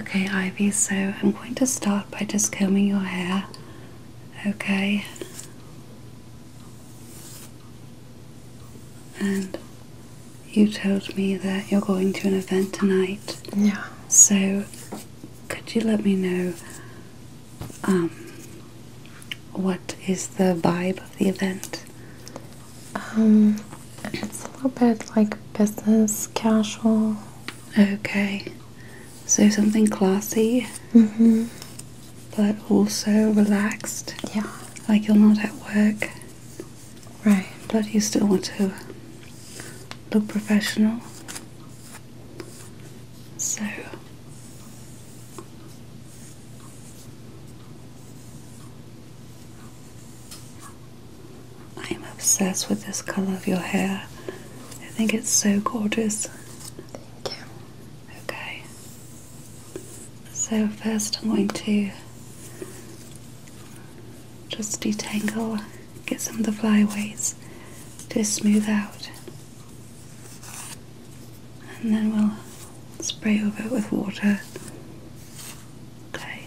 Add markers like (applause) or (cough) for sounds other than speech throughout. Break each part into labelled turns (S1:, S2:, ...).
S1: Okay, Ivy, so I'm going to start by just combing your hair, okay? And you told me that you're going to an event tonight. Yeah. So, could you let me know um, what is the vibe of the event? Um, it's a little bit like business casual. Okay, so something classy, mm-hmm. but also relaxed. Yeah, like you're not at work, right? But you still want to look professional. So. I am obsessed with this color of your hair. I think it's so gorgeous. Thank you. Okay. So, first, I'm going to just detangle, get some of the flyaways to smooth out, and then we'll spray over it with water. Okay.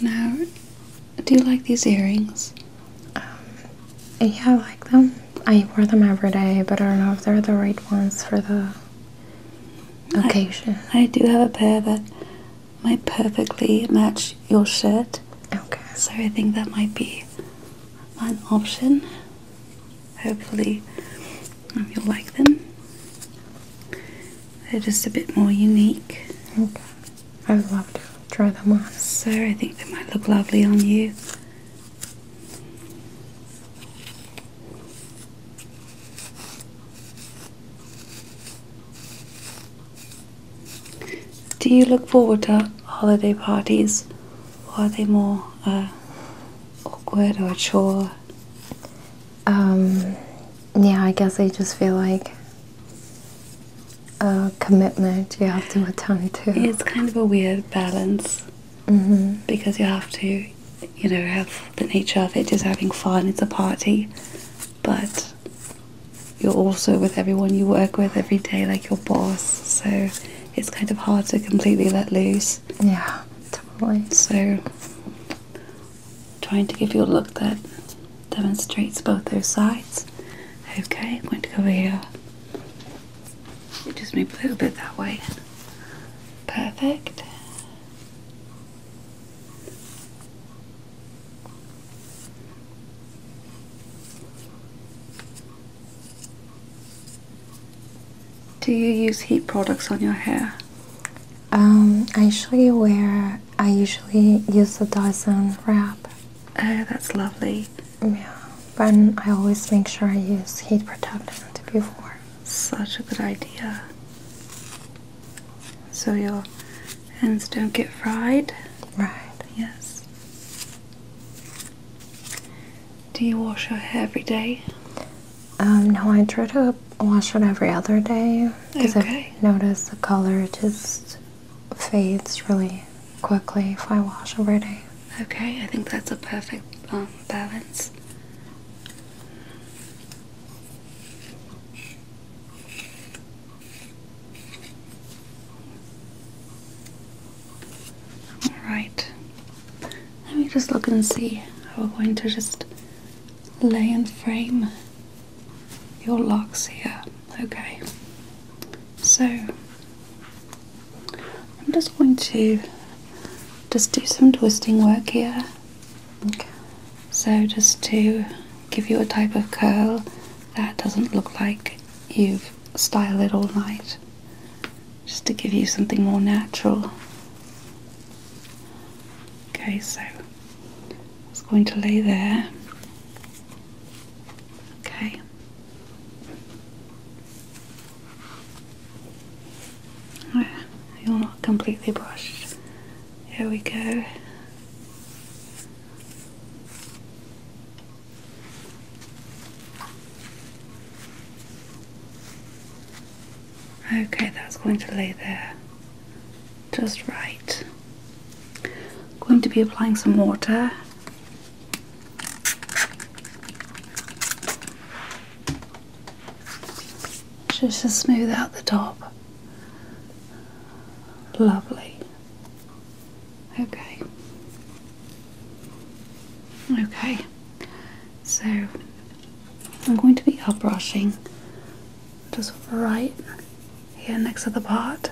S1: Now, do you like these earrings? Um, yeah, I like them. I wear them every day, but I don't know if they're the right ones for the occasion. I, I do have a pair that might perfectly match your shirt. Okay. So I think that might be an option. Hopefully, you'll like them. They're just a bit more unique. I'd love to try them on. So I think they might look lovely on you. Do you look forward to holiday parties, or are they more uh, awkward or chore. Um, yeah, I guess I just feel like a commitment you have to attend to. It's kind of a weird balance mm-hmm. because you have to, you know, have the nature of it is having fun, it's a party, but you're also with everyone you work with every day, like your boss, so it's kind of hard to completely let loose. Yeah, totally. So, trying to give you a look that demonstrates both those sides. Okay, I'm going to go over here. Just move a little bit that way. Perfect. Do you use heat products on your hair? Um, I usually wear, I usually use the Dyson wrap. Oh, that's lovely. Yeah, but I always make sure I use heat protectant before. Such a good idea. So your hands don't get fried? Right. Yes. Do you wash your hair every day? Um, no, I try to wash it every other day because i notice the color just fades really quickly if I wash every day. Okay, I think that's a perfect um, balance. Alright, let me just look and see how we're going to just lay and frame your locks here. Okay, so I'm just going to just do some twisting work here. So just to give you a type of curl that doesn't look like you've styled it all night just to give you something more natural. Okay, so it's going to lay there. Okay. Ah, you're not completely brushed. Here we go. Okay, that's going to lay there just right. Going to be applying some water. Just to smooth out the top. Lovely. Okay. Okay, so I'm going to be up brushing just right here next to the pot.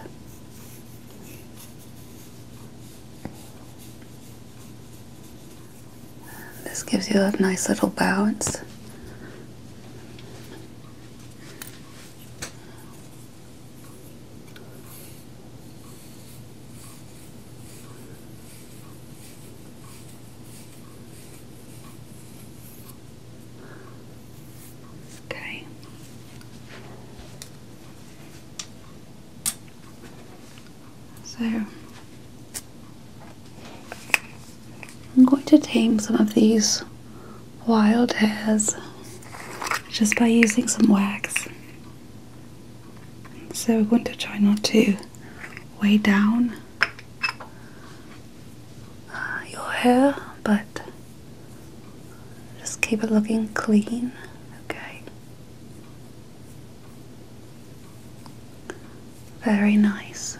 S1: This gives you a nice little bounce. Okay. So I'm going to tame some of these wild hairs just by using some wax. So we're going to try not to weigh down uh, your hair, but just keep it looking clean, okay? Very nice.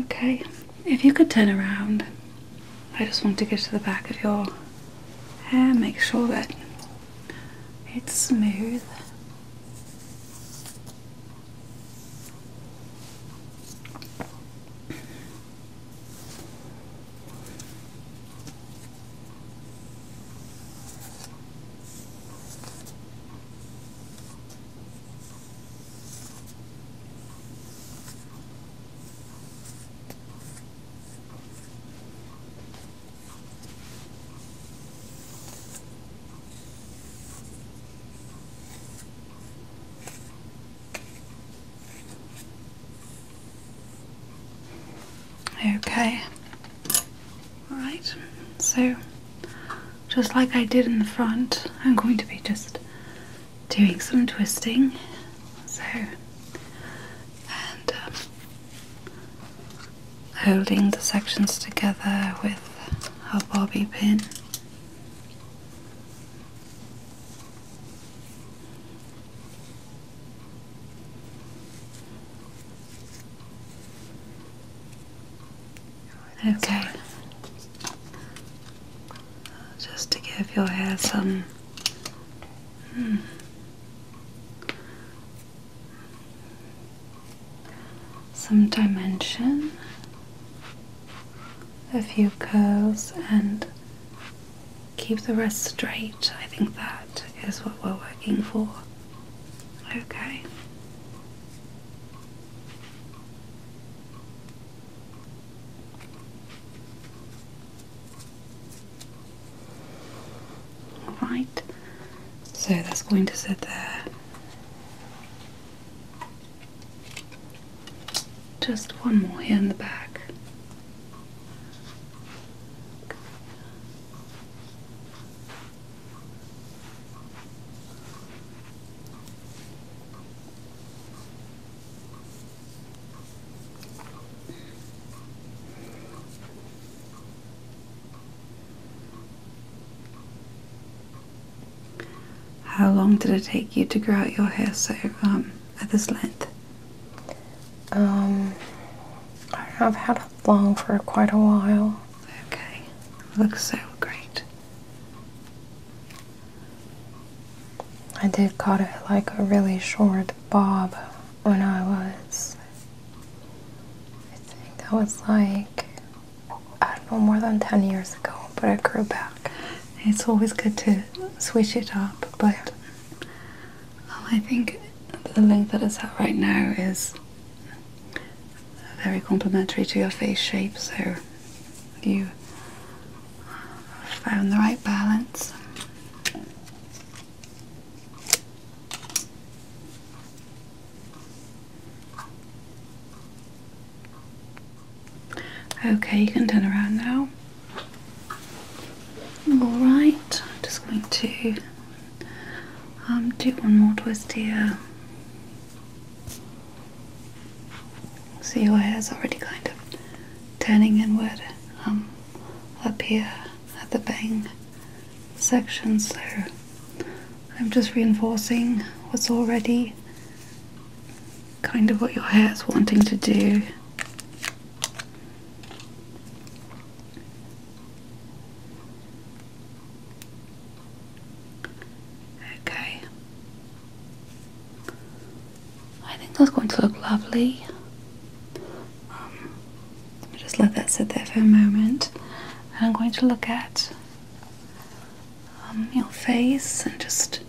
S1: Okay, if you could turn around, I just want to get to the back of your hair, make sure that it's smooth. Okay. All right. So just like I did in the front I'm going to be just doing some twisting so and um, holding the sections together with a bobby pin Okay. Just to give your hair some. Hmm. Some dimension, a few curls, and keep the rest straight. I think that is what we're working for. Okay. Right, so that's going to sit there just one more here in the back. How long did it take you to grow out your hair so um, at this length? Um, I I've had it long for quite a while. Okay, looks so great. I did cut it like a really short bob when I was, I think that was like, I don't know, more than 10 years ago, but it grew back. It's always good to switch it up, but um, I think the length that it's at right now is very complimentary to your face shape, so you found the right balance. Okay, you can turn around now. Alright, I'm just going to um, do one more twist here See your hair's already kind of turning inward um, up here at the bang section, so I'm just reinforcing what's already kind of what your hair is wanting to do. Okay. I think that's going to look lovely. Um, just let that sit there for a moment. And I'm going to look at um, your face and just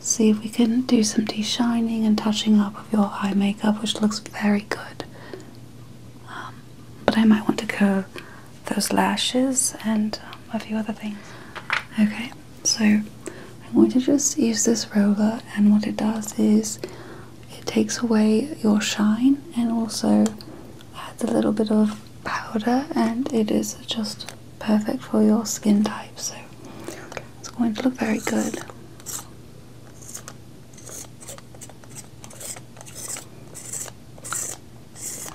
S1: see if we can do some de-shining and touching up of your eye makeup, which looks very good. Um, but I might want to go those lashes and a few other things. Okay, so I'm going to just use this roller, and what it does is it takes away your shine and also adds a little bit of powder, and it is just perfect for your skin type. So it's going to look very good.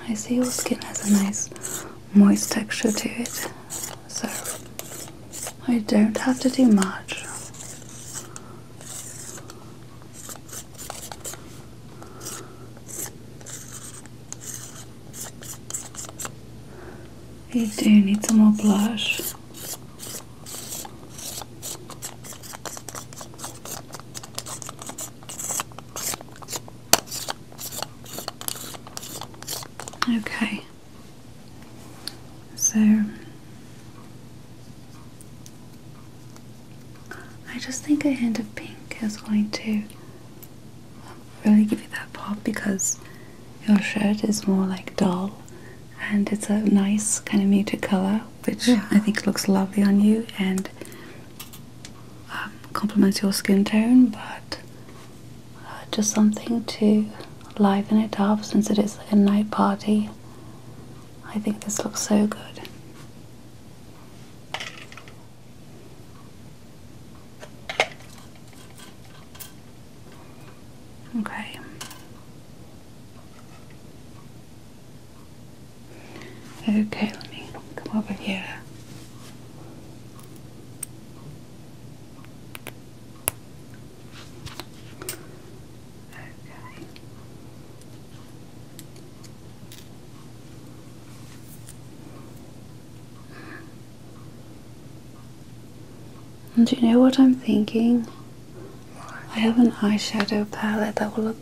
S1: I see your skin has a nice moist texture to it, so I don't have to do much. You do need some more blush. Okay, so I just think a hint of pink is going to really give you that pop because your shirt is more like dull and it's a nice kind of muted color, which I think looks lovely on you. And um, complements your skin tone, but uh, just something to liven it up since it is like a night party. I think this looks so good. Okay. Okay, let me come over here. Okay. do you know what I'm thinking? I have an eyeshadow palette that will look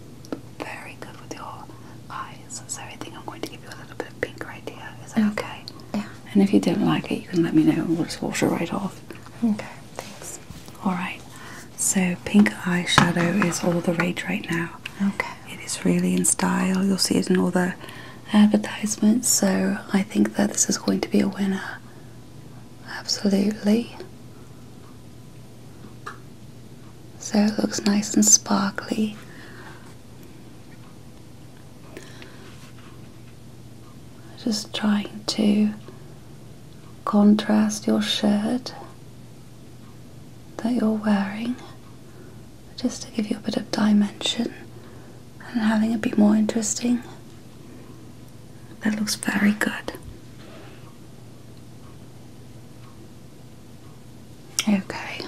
S1: very good with your eyes, so I think I'm going to give you a little bit of pink right here. Is that oh, okay? Yeah. And if you don't like it, you can let me know we'll just wash it right off. Okay, thanks. Alright, so pink eyeshadow is all the rage right now. Okay. It is really in style, you'll see it in all the advertisements, so I think that this is going to be a winner. Absolutely so it looks nice and sparkly. Just trying to contrast your shirt that you're wearing just to give you a bit of dimension and having it be more interesting. That looks very good. Okay,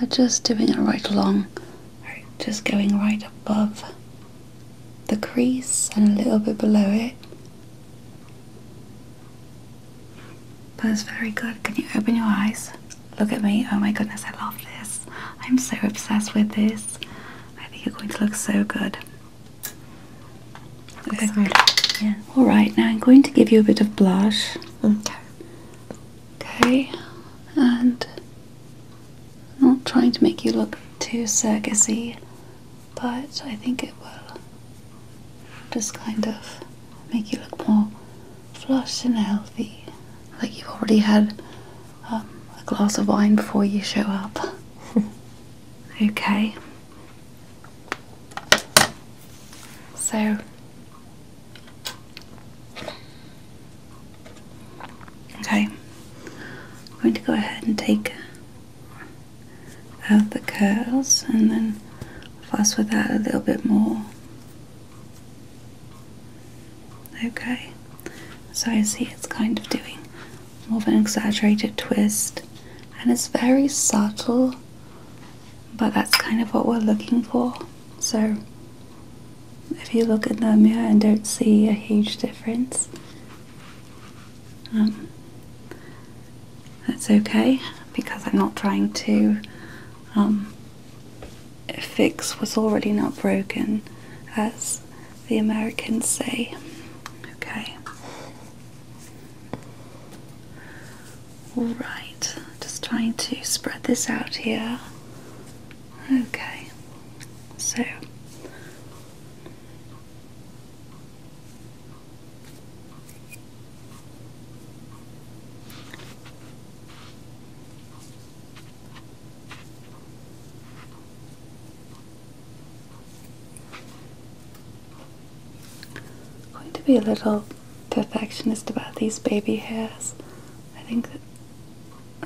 S1: uh, just doing it right along, just going right above the crease and a little bit below it. That's very good. Can you open your eyes? Look at me. Oh my goodness, I love this. I'm so obsessed with this. I think you're going to look so good okay. Yeah. All right. Now I'm going to give you a bit of blush. Okay. Okay. And I'm not trying to make you look too circusy, but I think it will just kind of make you look more flushed and healthy, like you've already had um, a glass of wine before you show up. (laughs) okay. So okay, I'm going to go ahead and take out the curls and then fuss with that a little bit more. Okay, so I see it's kind of doing more of an exaggerated twist and it's very subtle but that's kind of what we're looking for. So, if you look in the mirror and don't see a huge difference, um, that's okay because I'm not trying to um, fix what's already not broken, as the Americans say. Okay. Alright, just trying to spread this out here. Okay, so I'm going to be a little perfectionist about these baby hairs. I think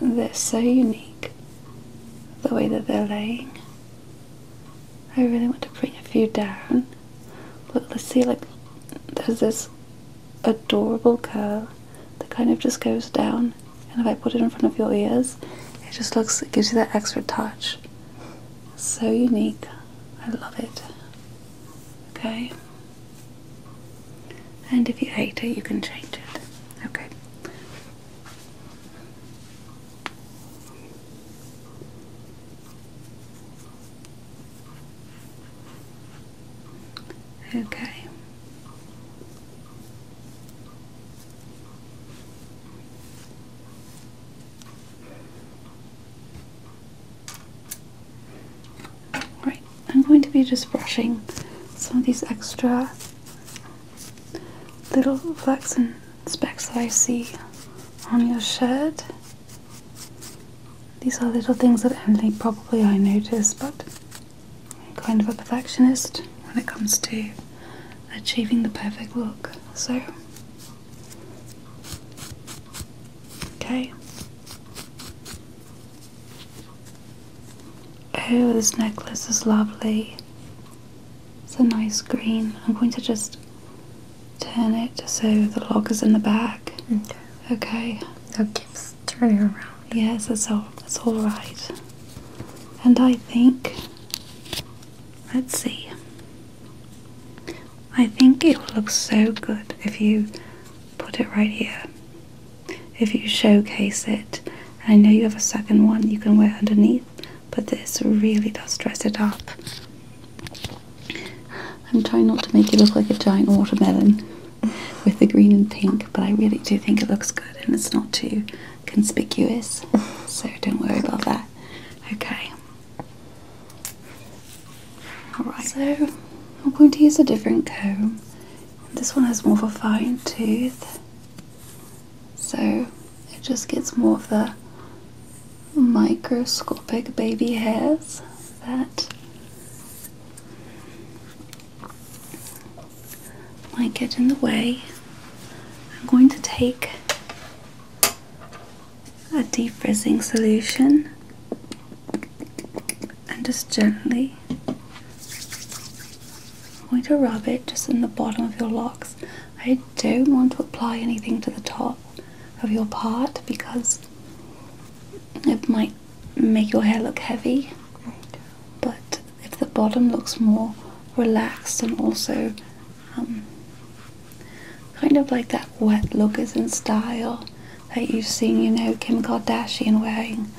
S1: they're so unique, the way that they're laying. I really want to bring a few down. let's see, like, there's this adorable curl that kind of just goes down. And if I put it in front of your ears, it just looks, gives you that extra touch so unique. I love it. Okay. And if you hate it, you can change it. Okay. Okay. Right, I'm going to be just brushing some of these extra little flecks and specks that I see on your shirt. These are little things that only probably I notice, but kind of a perfectionist when it comes to achieving the perfect look. So Okay. Oh, this necklace is lovely. It's a nice green. I'm going to just turn it so the lock is in the back. Okay. Okay. Okay, turn it around. Yes, that's all. That's all right. And I think, let's see. I think it will look so good if you put it right here. If you showcase it, I know you have a second one you can wear underneath, but this really does dress it up. I'm trying not to make it look like a giant watermelon (laughs) with the green and pink, but I really do think it looks good and it's not too conspicuous, (laughs) so don't worry about that. Okay, Alright, so I'm going to use a different comb. This one has more of a fine tooth, so it just gets more of the microscopic baby hairs that might get in the way. I'm going to take a deep frizzing solution and just gently I'm going to rub it just in the bottom of your locks. I don't want to apply anything to the top of your part because it might make your hair look heavy. But if the bottom looks more relaxed and also um, kind of like that wet look is in style that you've seen, you know, Kim Kardashian wearing,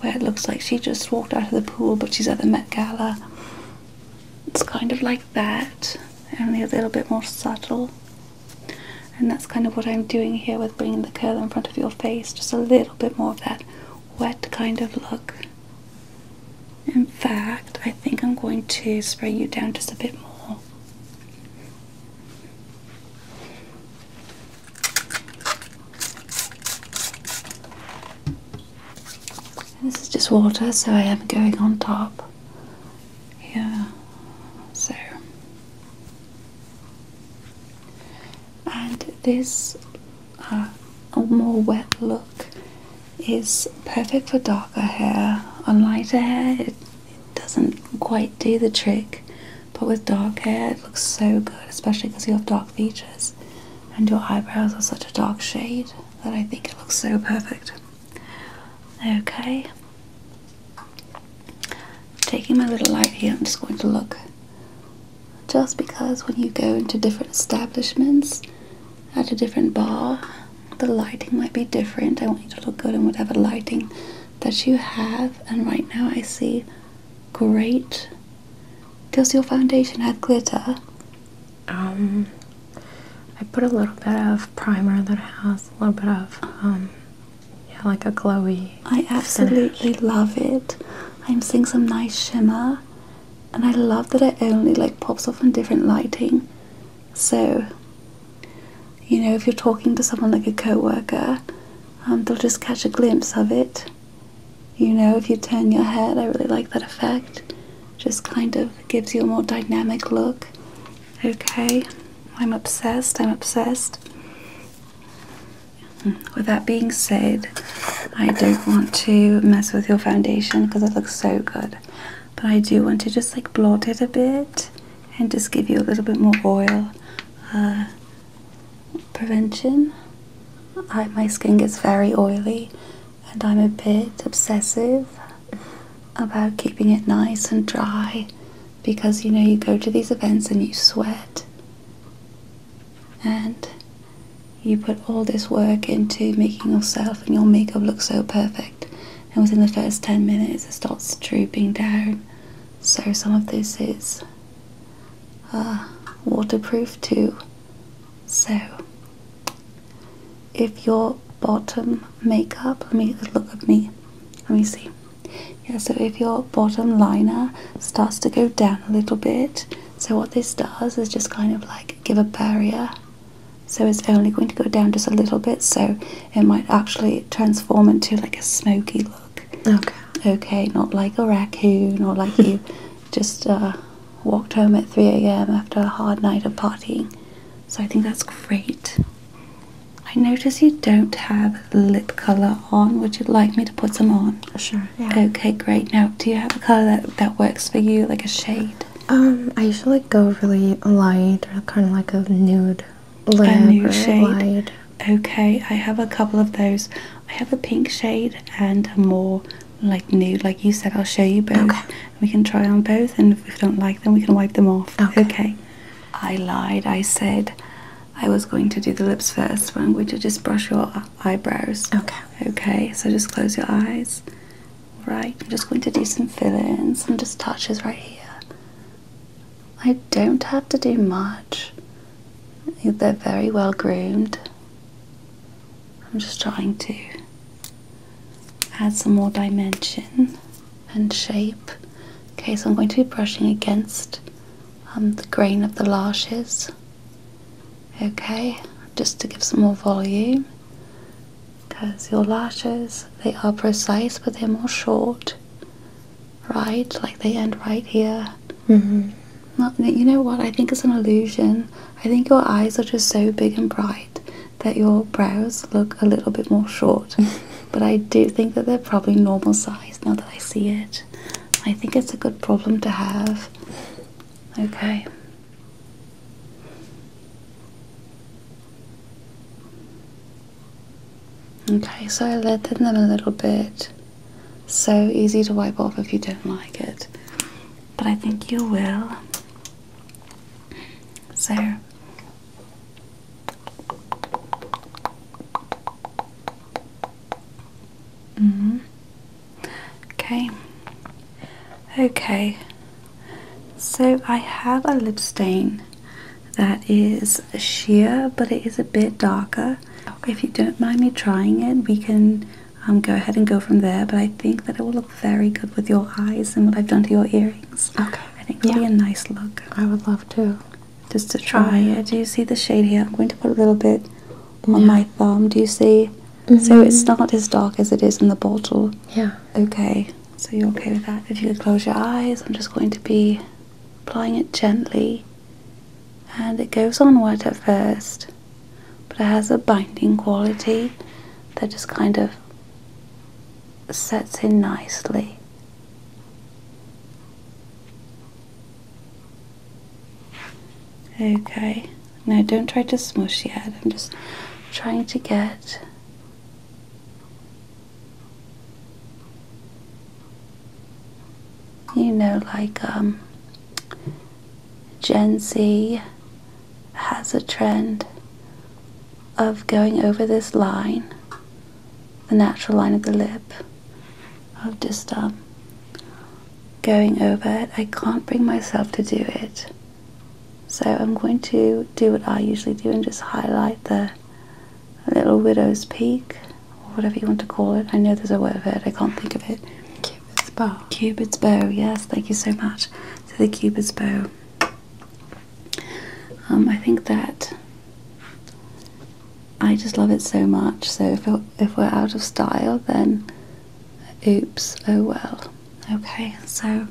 S1: where it looks like she just walked out of the pool but she's at the Met Gala. It's kind of like that, only a little bit more subtle. And that's kind of what I'm doing here with bringing the curl in front of your face, just a little bit more of that wet kind of look. In fact, I think I'm going to spray you down just a bit more. This is just water, so I am going on top Yeah. So, and this uh, a more wet look is perfect for darker hair. On lighter hair, it, doesn't quite do the trick, but with dark hair, it looks so good, especially because you have dark features and your eyebrows are such a dark shade that I think it looks so perfect. Okay. Taking my little light here, I'm just going to look. Just because when you go into different establishments, at a different bar, the lighting might be different. I want you to look good in whatever lighting that you have. And right now I see great. Does your foundation have glitter? Um, I put a little bit of primer that has a little bit of, um, yeah, like a glowy. I absolutely love it. I'm seeing some nice shimmer, and I love that it only like pops off in different lighting. So, you know, if you're talking to someone like a co worker, um, they'll just catch a glimpse of it. You know, if you turn your head, I really like that effect. Just kind of gives you a more dynamic look. Okay, I'm obsessed, I'm obsessed. Hmm, with that being said, I don't want to mess with your foundation because it looks so good but I do want to just like blot it a bit and just give you a little bit more oil uh, prevention. my skin gets very oily and I'm a bit obsessive about keeping it nice and dry because you know you go to these events and you sweat and you put all this work into making yourself and your makeup look so perfect and within the first 10 minutes, it starts drooping down. So, some of this is uh, waterproof too. So, if your bottom makeup, let me look at me, let me see. Yeah, so if your bottom liner starts to go down a little bit, so what this does is just kind of like give a barrier so it's only going to go down just a little bit, so it might actually transform into like a smoky look. Okay. Okay, not like a raccoon or like you (laughs) just uh, walked home at 3 a.m. after a hard night of partying. So I think that's great. I notice you don't have lip colour on. Would you like me to put some on? Sure. Okay, great. Now, do you have a colour that, that works for you, like a shade? Um, I usually go really light or kind of like a nude lip a nude shade. Okay, I have a couple of those. I have a pink shade and a more like nude, like you said. I'll show you both. Okay. We can try on both, and if we don't like them, we can wipe them off. Okay. okay. I lied. I said I was going to do the lips first, but I'm going to just brush your eyebrows. Okay. Okay. So just close your eyes Right, I'm just going to do some fill-in, some just touches right here. I don't have to do much. They're very well groomed. I'm just trying to add some more dimension and shape. Okay, so I'm going to be brushing against um, the grain of the lashes. Okay, just to give some more volume because your lashes they are precise but they're more short right like they end right here mm-hmm. you know what i think it's an illusion i think your eyes are just so big and bright that your brows look a little bit more short (laughs) but i do think that they're probably normal size now that i see it i think it's a good problem to have okay Okay, so I leaded them a little bit. So easy to wipe off if you don't like it, but I think you will. So Mm Okay, Okay, so I have a lip stain that is sheer, but it is a bit darker. If you don't mind me trying it, we can um, go ahead and go from there. But I think that it will look very good with your eyes and what I've done to your earrings. Okay. I think it'll yeah. be a nice look. I would love to. Just to try, try Do you see the shade here? I'm going to put a little bit on my thumb. Do you see? So it's mm-hmm. not as dark as it is in the bottle. Yeah. Okay. So you're okay with that? If you could close your eyes, I'm just going to be applying it gently. And it goes on wet at first, but it has a binding quality that just kind of sets in nicely. Okay. Now, don't try to smush yet. I'm just trying to get you know, like um, Gen Z has a trend of going over this line, the natural line of the lip, of just um, going over it. I can't bring myself to do it. So I'm going to do what I usually do and just highlight the little widow's peak, or whatever you want to call it. I know there's a word for it, I can't think of it. Cupid's bow. Cupid's bow, yes, thank you so much. So the cupid's bow. Um, I think that I just love it so much. So if, if we're out of style, then oops, oh well. Okay, so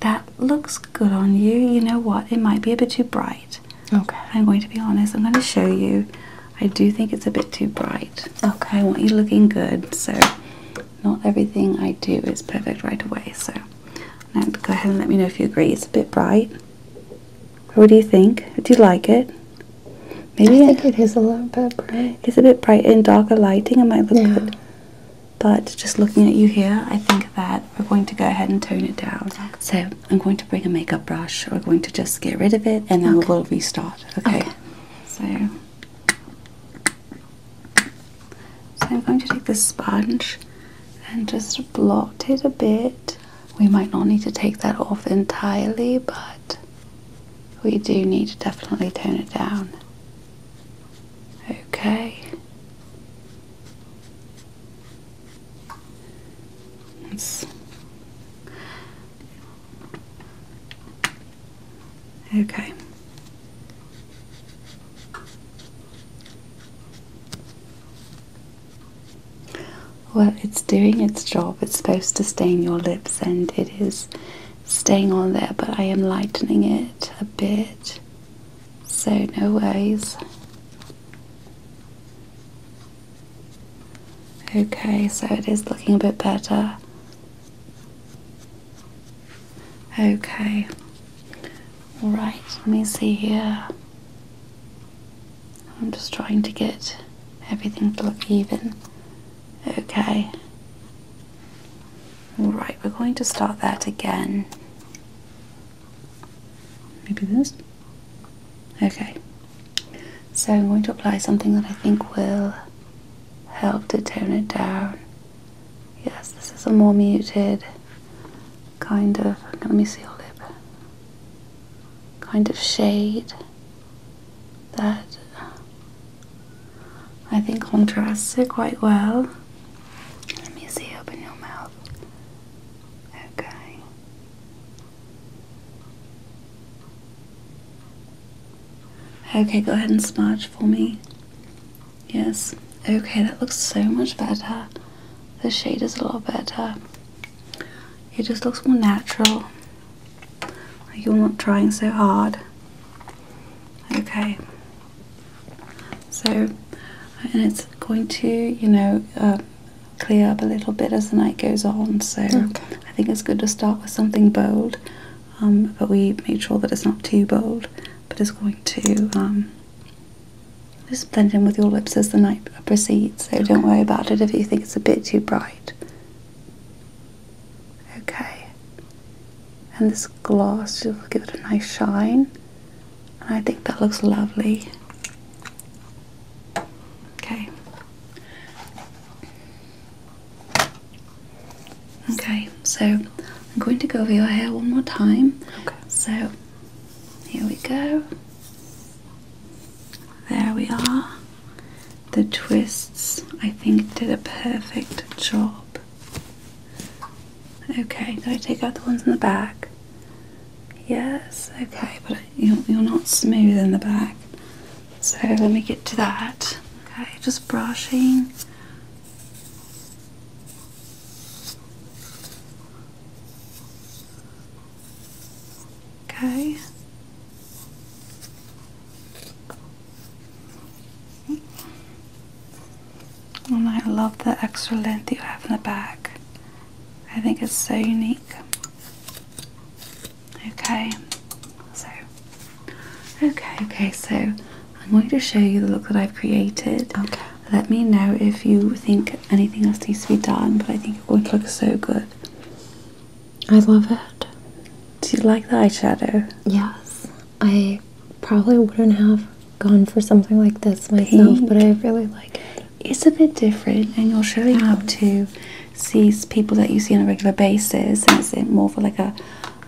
S1: that looks good on you. You know what? It might be a bit too bright. Okay. I'm going to be honest. I'm going to show you. I do think it's a bit too bright. Okay. I want you looking good. So not everything I do is perfect right away. So go ahead and let me know if you agree. It's a bit bright. What do you think? Do you like it? Maybe I think it is a little bit bright. It's a bit bright in darker lighting. It might look good. But just looking at you here, I think that we're going to go ahead and tone it down. So I'm going to bring a makeup brush. We're going to just get rid of it and then we'll restart. Okay. So, so I'm going to take this sponge and just blot it a bit. We might not need to take that off entirely, but we do need to definitely tone it down. Okay. That's okay. Well, it's doing its job. It's supposed to stain your lips, and it is staying on there, but I am lightening it a bit, so no worries. Okay, so it is looking a bit better. Okay, alright, let me see here. I'm just trying to get everything to look even. Okay. Right, we're going to start that again. Maybe this? Okay. So I'm going to apply something that I think will help to tone it down. Yes, this is a more muted kind of, let me see your lip, kind of shade that I think contrasts it quite well. Let me see, open your mouth. Okay. Okay, go ahead and smudge for me. Yes. Okay, that looks so much better. The shade is a lot better. It just looks more natural. you're not trying so hard. Okay. So, and it's going to, you know, uh, clear up a little bit as the night goes on. So, I think it's good to start with something bold, um, but we made sure that it's not too bold. But it's going to um, just blend in with your lips as the night proceeds. So, don't worry about it if you think it's a bit too bright. Okay. And this gloss will give it a nice shine. And I think that looks lovely. Okay. Okay, so I'm going to go over your hair one more time. Okay. So here we go. There we are. The twists, I think, did a perfect job. Okay, did I take out the ones in the back? Yes, okay, but you're, you're not smooth in the back. So let me get to that. Okay, just brushing. Okay. And I love the extra length you have in the back. I think it's so unique. Okay, so, okay, okay, so I'm going to show you the look that I've created. Okay. Let me know if you think anything else needs to be done, but I think it would look so good. I love it. Do you like the eyeshadow? Yes. I probably wouldn't have gone for something like this myself, but I really like it. It's a bit different, and you're showing up to see people that you see on a regular basis, and it's more for like a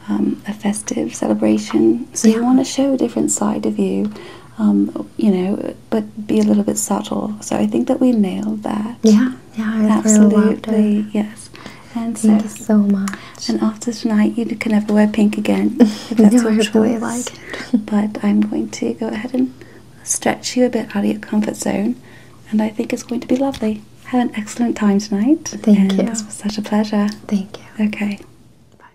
S1: um, a festive celebration. So you want to show a different side of you, um, you know, but be a little bit subtle. So I think that we nailed that. Yeah, yeah, absolutely. Yes. Thank you so much. And after tonight, you can never wear pink again. (laughs) If that's what you really like (laughs) but I'm going to go ahead and stretch you a bit out of your comfort zone, and I think it's going to be lovely. Have an excellent time tonight. Thank you. This was such a pleasure. Thank you. Okay. Bye.